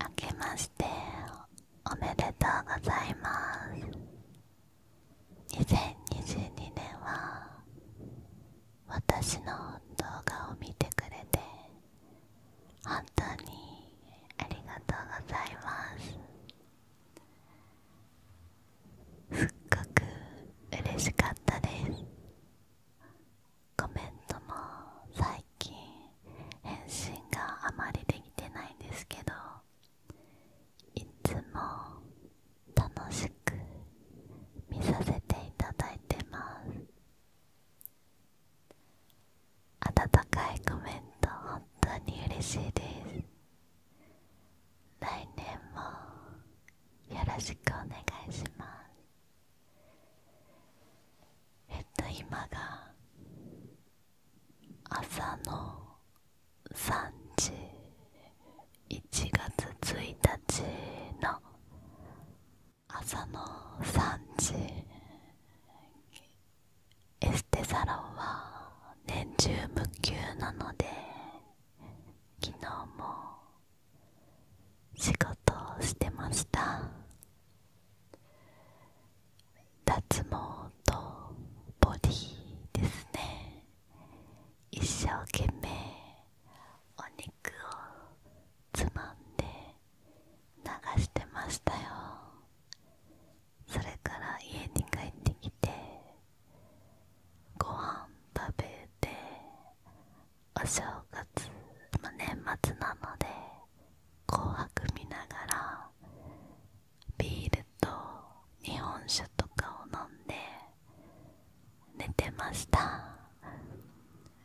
明けましておめでとうございます2022年は私の動画を見てくれて本当にありがとうございますすっごく嬉しかったですコメントも最近返信があまりできてないんですけどいつも楽しく見させていただいてます温かいコメント本当に嬉しいです来年もよろしくお願いしますえっと今が朝の3時1月1日の朝の3時エステサロンは年中無休なので昨日も仕事をしてました脱毛とボディですね一生懸命お肉をつまんで流してましたよそれから家に帰ってきてご飯食べてお正月、ま年末なので「紅白」見ながらビールと日本酒とかを飲んで寝てました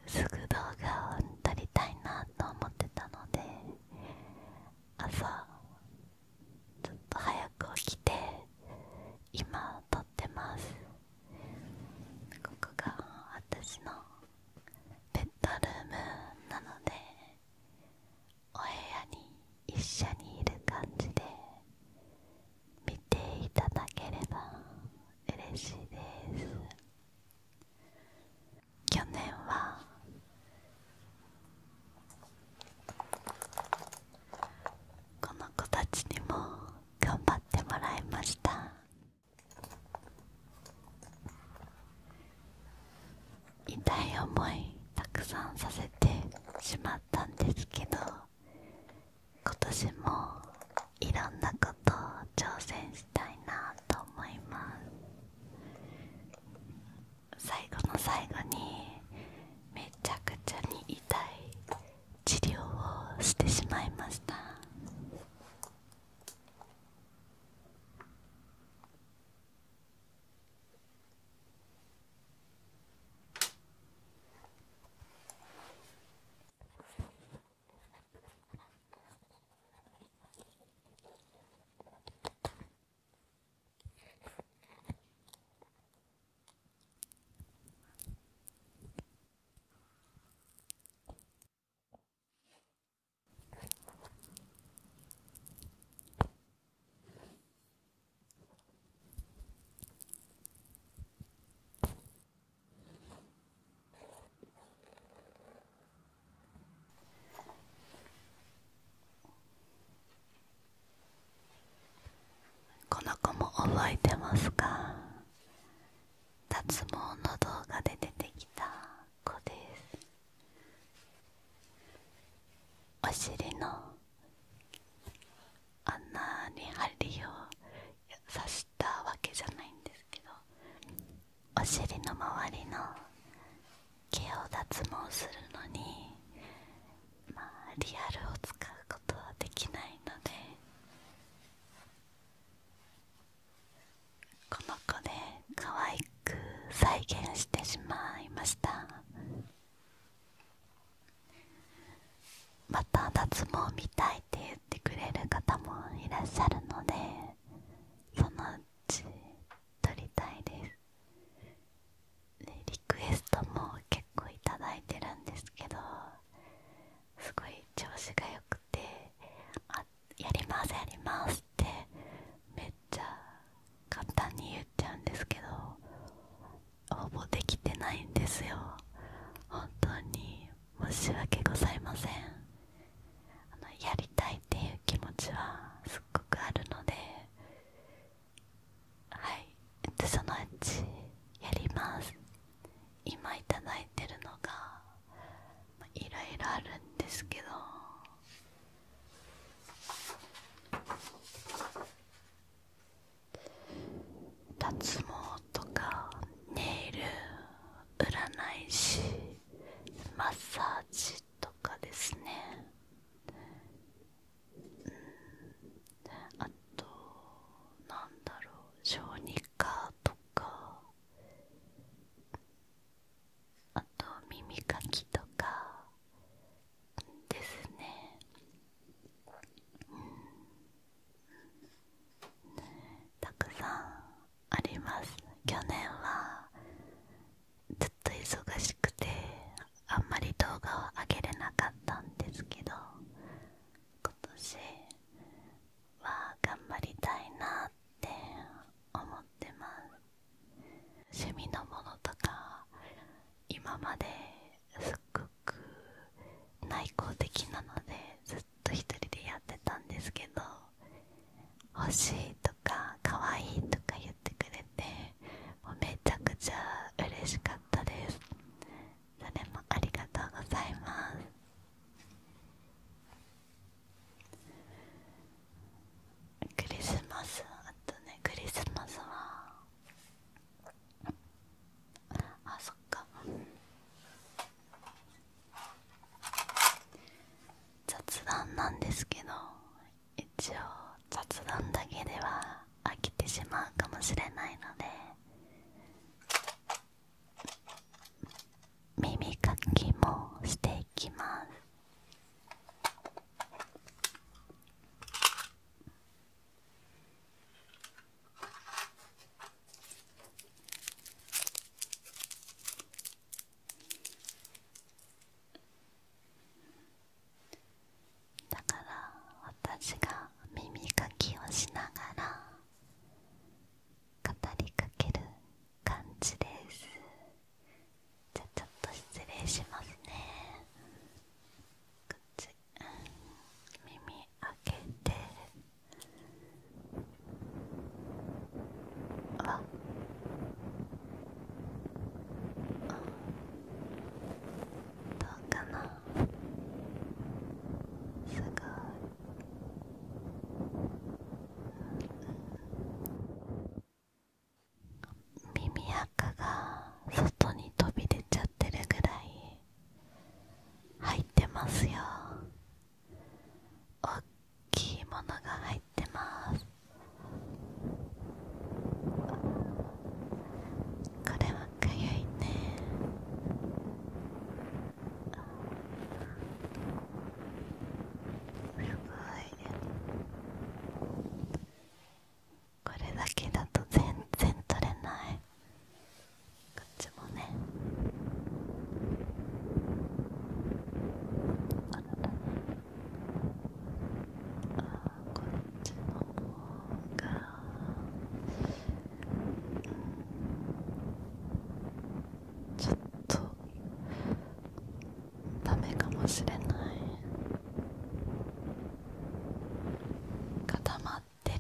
すぐ動画を撮りたいなと思ってたので朝ちょっと早く起きて今撮ってますここが私のベッドルームなのでお部屋に一緒にいる感じで見ていただければ嬉しいです去年はこの子たちにも頑張ってもらいました痛い思いたくさんさせてしまったんですけど今年もいろんなことを挑戦したいなと思います最後の最後にめちゃくちゃに痛い治療をしてしまいましたこの子も覚えてますか脱毛の動画で出てきた子ですお尻の穴に針を刺したわけじゃないんですけどお尻の周りの毛を脱毛するのに、まあ、リアルを使うことはできないのでこの子で可愛く再現してしまいましたまた脱毛みたいって言ってくれる方もいらっしゃるのでそのうち撮りたいですでリクエストも結構頂いてるんですけどすごい調子がよくて「あやりますやります」ってめっちゃ簡単に言っちゃうんですけど応募できてないんですよ本当に申し訳ございませんあのやりたいっていう気持ちはすっごくあるのではいえっとそのうちやります今いただいてるのが、まあ、いろいろあるんですけど脱毛とかネイル占い師マッサージとかですね、うん、あとなんだろう小児カとかあと耳かきとかですねたくさんあります去年はずっと忙しくてあんまり動画を上げれなかったんですけど今年は頑張りたいなって思ってます趣味のものとか今まですっごく内向的なのでずっと一人でやってたんですけど欲しいとか可愛いとか言ってくれてめちゃくちゃ嬉しかったですそれもありがとうございますクリスマスあとねクリスマスはあそっか雑談なんですけど一応雑談だけでは飽きてしまうかもしれないので耳かきもしていきますだから私が耳かきをしながら語りかける感じですじゃちょっと失礼しますねこっち耳開けてあどうかなすごい耳垢が外に飛び出ちゃってるぐらい入ってますよ大きいものが入ってますこれはかゆいねすごいこれだけだと全然取れないこっちもねああこっちの方がなちょっとダメかもしれない固まってる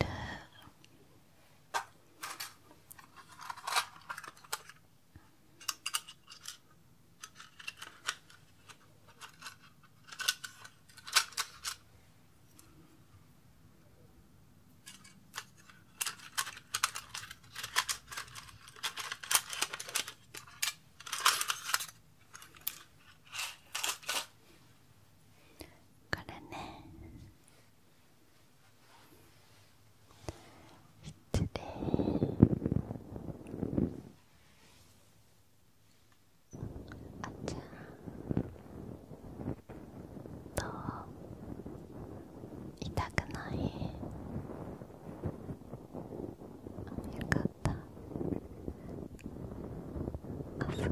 これね失礼あっちゃどう痛くないよかったあすごいあ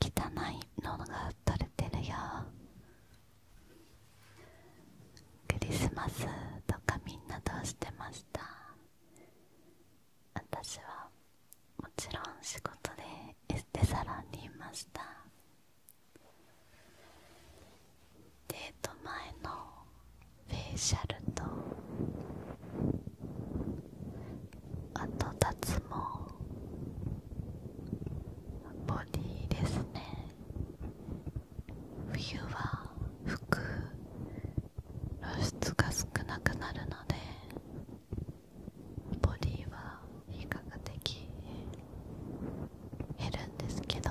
汚いのが取れてるよクリスマスとかみんなどうしてました私はもちろん仕事でエステサロンにいましたデート前のフェイシャルとあと脱毛ボディですね冬は服露出が少なくなるのでボディは比較的減るんですけど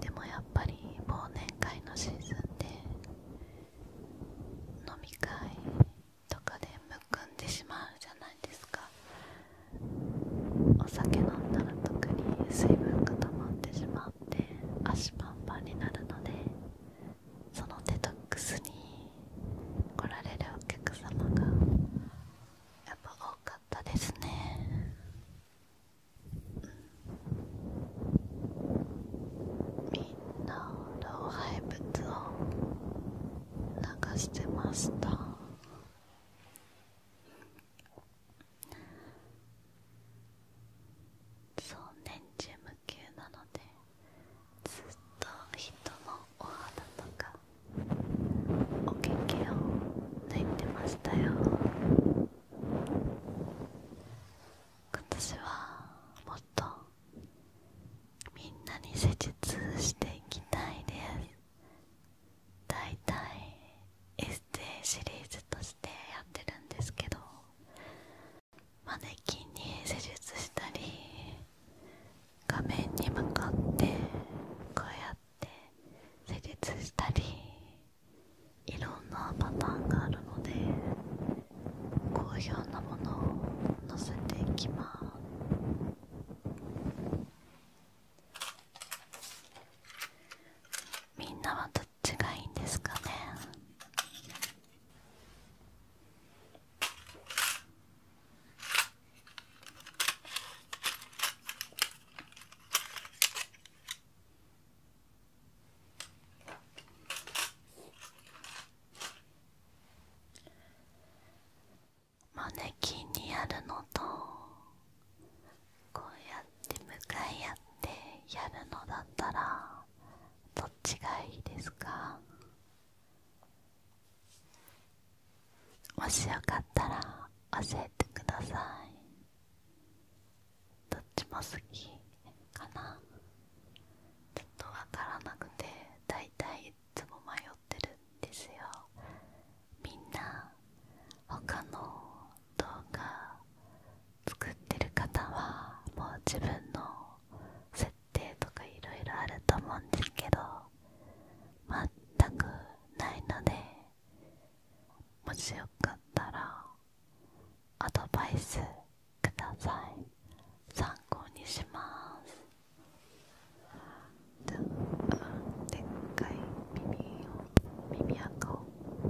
でもやっぱり忘年会のシーズンで飲み会とかでむくんでしまうじゃないですかお酒飲んだら特に水分固まってしまって足パンパンになるのでそのデトックスに来られるお客様がやっぱ多かったですね、みんな老廃物を流してましたそう年中無休なのでずっと人のお肌とかお経けを抜いてましたよ今年はもっとみんなに施術していきたいですだいたいエステシリーズとしてやってるんですけどマネキンに施術したり画面に向かってこうやっっ施術したりいろんなパターンがあるので好評なものを載せていきます。みんなはどっちがいいんですかねマネキンにやるのとこうやって向かい合ってやるのだったらどっちがいいですかもしよかったら教えてくださいどっちも好きかなちょっとわからなくてだいたいいつも迷ってるんですよみんな他の動画作ってる方はもう自分の設定とかいろいろあると思うんですけど全くないのでもしよかったらアドバイスください参考にしますでっかい耳を耳垢を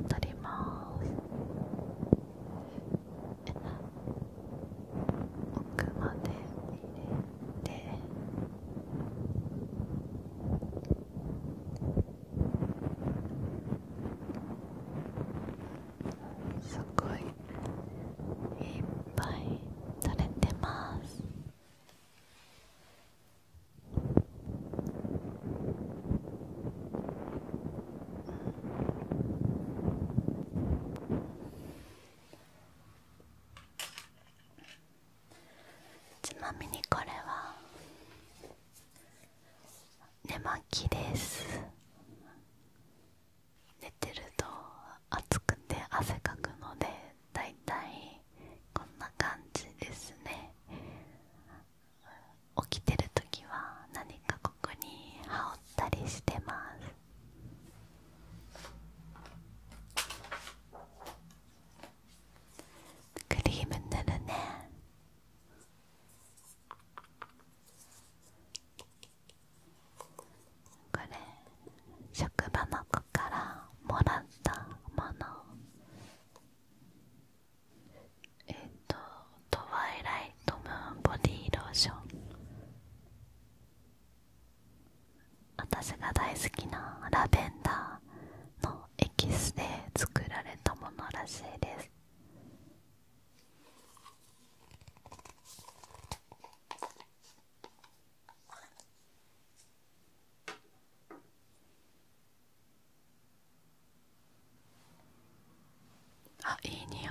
取ります奥まで入れっすごいいっぱい取れてますうんちなみにこれは寝巻きです寝てると暑くて汗かくのでだいたいこんな感じですね起きてる時は何かここに羽織ったりしてますクリーム塗るねこれ職場の子からもらったものえっ、と「トワイライトムーンボディローション」私が大好きなラベンダーのエキスで作られたものらしいですあいい匂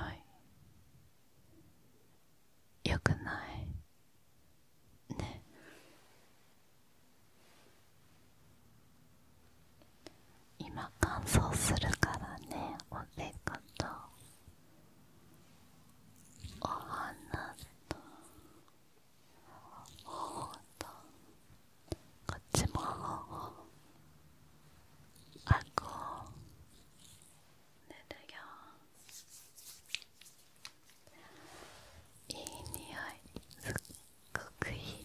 いよくないね今乾燥するからねおでことお花と頬とこっちも頬あう。塗るよいい匂いすっごくいい匂い、うん、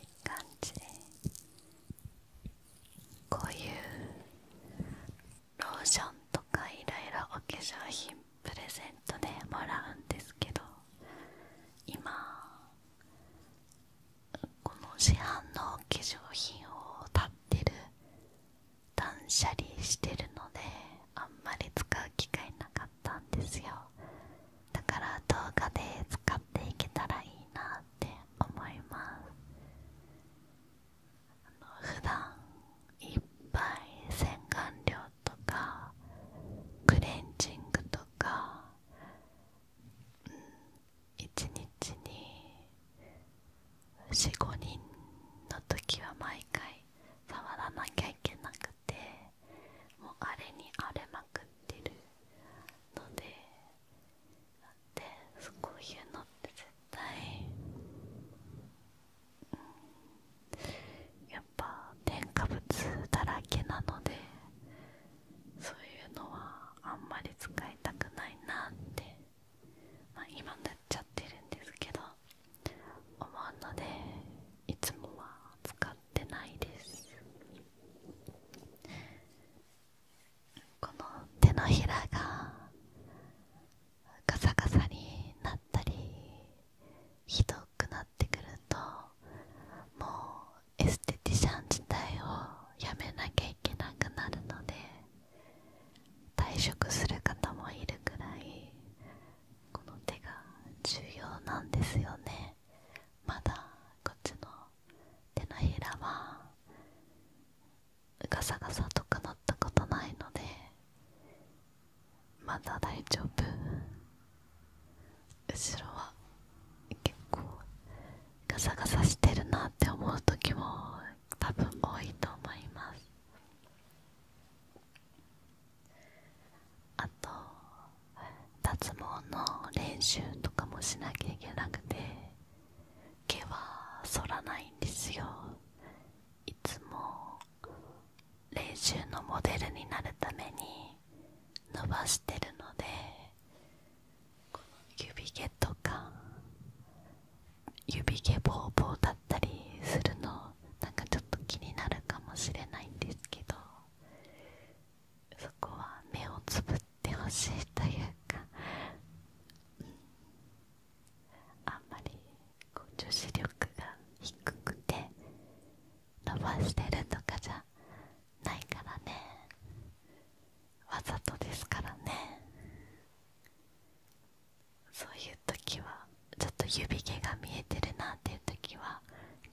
いい感じこういうローションとかいろいろお化粧品プレゼントでもらうんですけど今この市販の化粧品を立ってる断捨離してるのであんまり使う機会なかったんですよだから動画で使っていけたらいいなって思いますあの普段いっぱい洗顔料とかクレンジングとか1日に45人の時は毎回触らなきゃいけなくてもうあれに荒れまくってるのでだってこういうのって絶対、うん、やっぱ添加物だらけなので。そういうのはあんまり使いたくないなって、まあ、今なっちゃってるんですけど思うのでいつもは使ってないですこの手のひらがガサガサになったりひどくなってくるともうエステティシャン自体をやめなきゃいけなくなるので退職する方もいるくらいこの手が重要なんですよねまだこっちの手のひらはガサガサとかなったことないのでまだ大丈夫後ろは結構ガサガサしてるなって思う時も多分多いと思いますあと脱毛の練習とかもしなきゃいけなくて毛は剃らないんですよいつも練習のモデルになるために伸ばしてるので指毛とか指毛ぼうぼうだったりするのなんかちょっと気になるかもしれないんですけどそこは目をつぶってほしいというか、あんまりこう女子力が低くて伸ばしてるとかじゃないからねわざとですからねそういう時はちょっと指毛が見えてるなっていう時は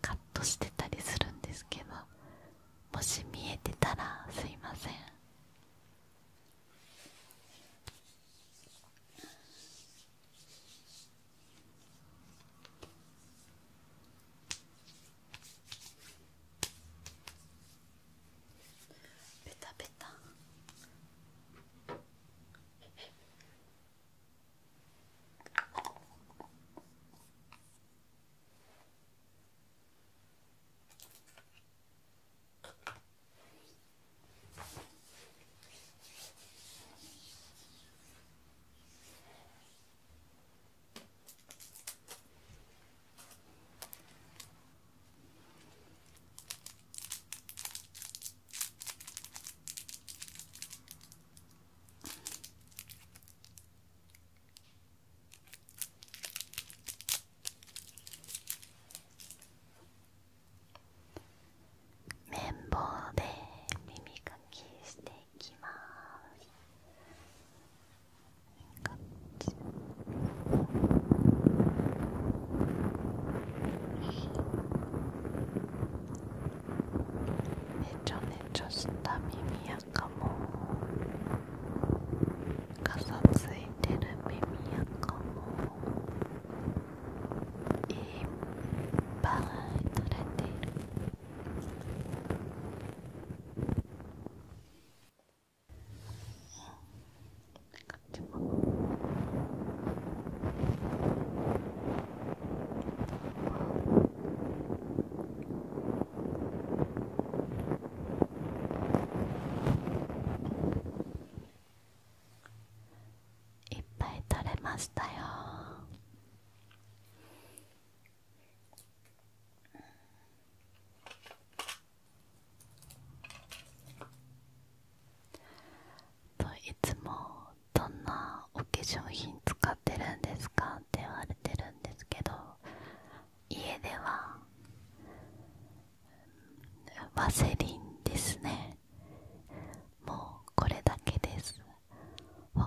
カットしてたりするんですけどもし見えてたらすいませんペタペタ綿棒で耳かきしてきますめちゃめちゃした耳やかもかさついてる耳やかもいっぱい取れているいっぱい取れましたようん。といつもどんなお化粧品使ってるんですかって言われてるんですけど家ではワセリンですねもうこれだけです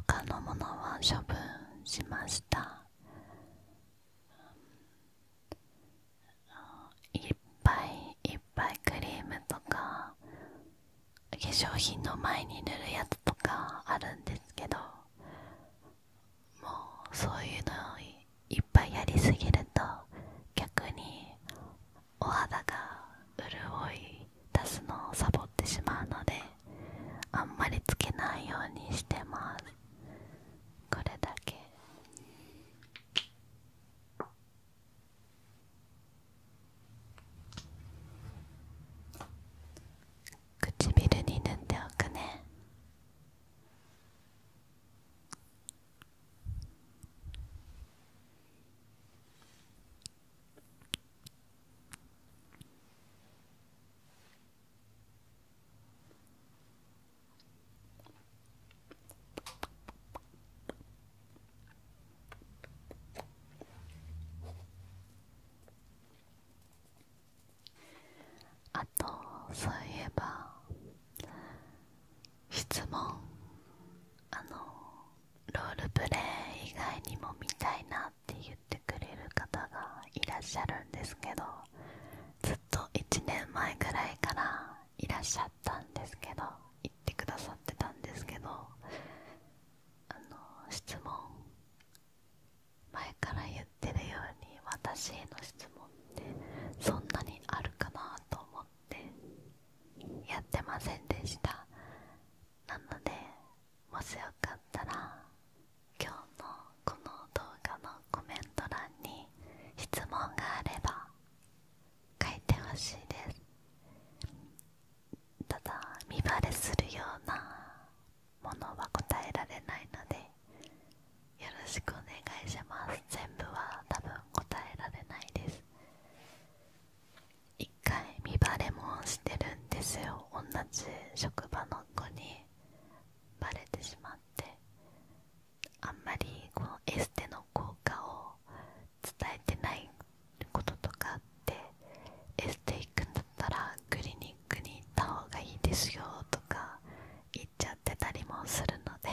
他のものは処分しましたいっぱいいっぱいクリームとか化粧品の前に塗るやつとかあるんですけどもうそういうのをいっぱいやりすぎると逆にお肌が潤い足すのをサボってしまうのであんまりつけないようにしてますこれだけ唇に塗っておくねあとそういえば質問あのロールプレイ以外にも見たいなっって言ってくれる方がいらっしゃるんですけどずっと1年前ぐらいからいらっしゃったんですけど言ってくださってたんですけどあの質問前から言ってるように私への質問ってそんなにあるかなと思ってやってませんでしたなのでもしよかったら今日のこの動画のコメント欄に質問があれば書いてほしいですただ身バレするようなものは答えられないのでよろしくお願いします全部は多分答えられないです1回身バレもしてるんですよ同じ職場の子にバレてしまってあんまりこのエステの効果を伝えてないこととかあってエステ行くんだったらクリニックに行った方がいいですよとか言っちゃってたりもするので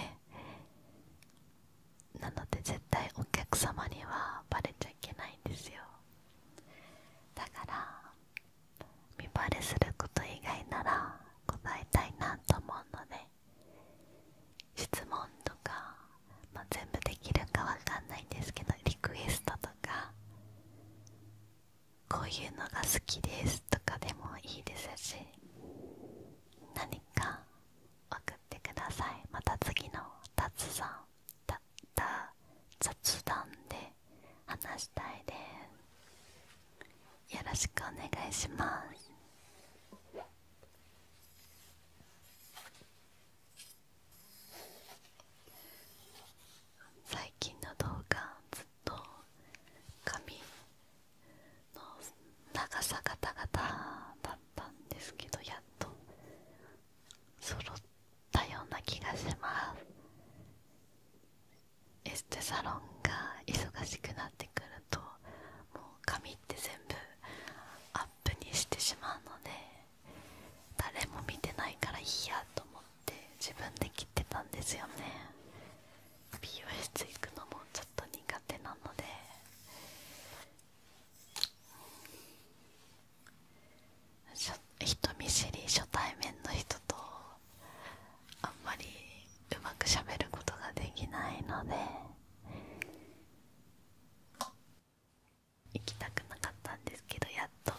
なので絶対お客様にはバレちゃいけないんですよだから見バレすること以外なら答えたいなと思うので質問とか、ま全部できるかわかんないんですけどリクエストとかこういうのが好きですとかでもいいですし何か送ってくださいまた次の達さんたった雑談で話したいですよろしくお願いします最近の動画ずっと髪の長さがたがただったんですけどやっとそろっったような気がしますエステサロンが忙しくなってくるともう髪って全部アップにしてしまうので誰も見てないからいいやと思って自分で切ってたんですよね美容室行くのもちょっと苦手なので人見知り初対面の人とあんまりうまくしゃべることができないので行きたくなかったんですけどやっと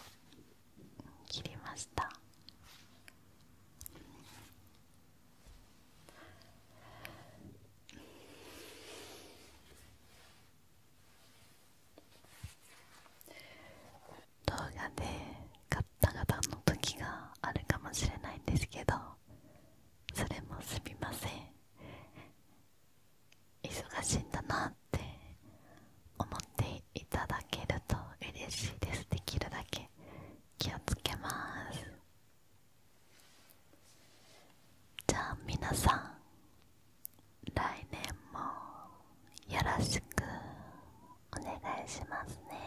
切りました動画でガッタガタの時があるかもしれないんですけどそれもすみません忙しいんだなって思っていただけると嬉しいですできるだけ気をつけますじゃあ皆さん来年もよろしくお願いしますね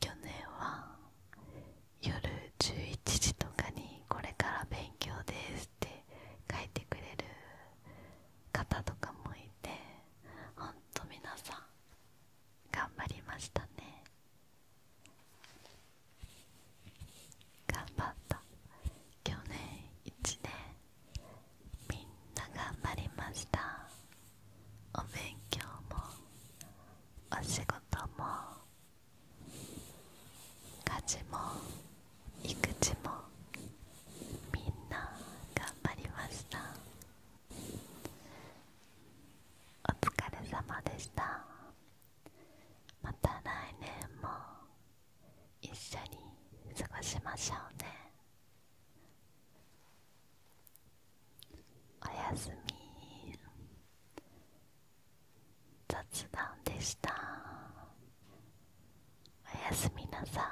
去年は夜11時とかにこれから勉強ですって書いてくれる方とかもいてほんと皆さん頑張りましたね頑張った去年1年みんな頑張りましたお勉強もお仕事も家事も育児もみんな頑張りましたお疲れ様でしたまた来年も一緒に過ごしましょうねおやすみ雑談でしたおやすみなさい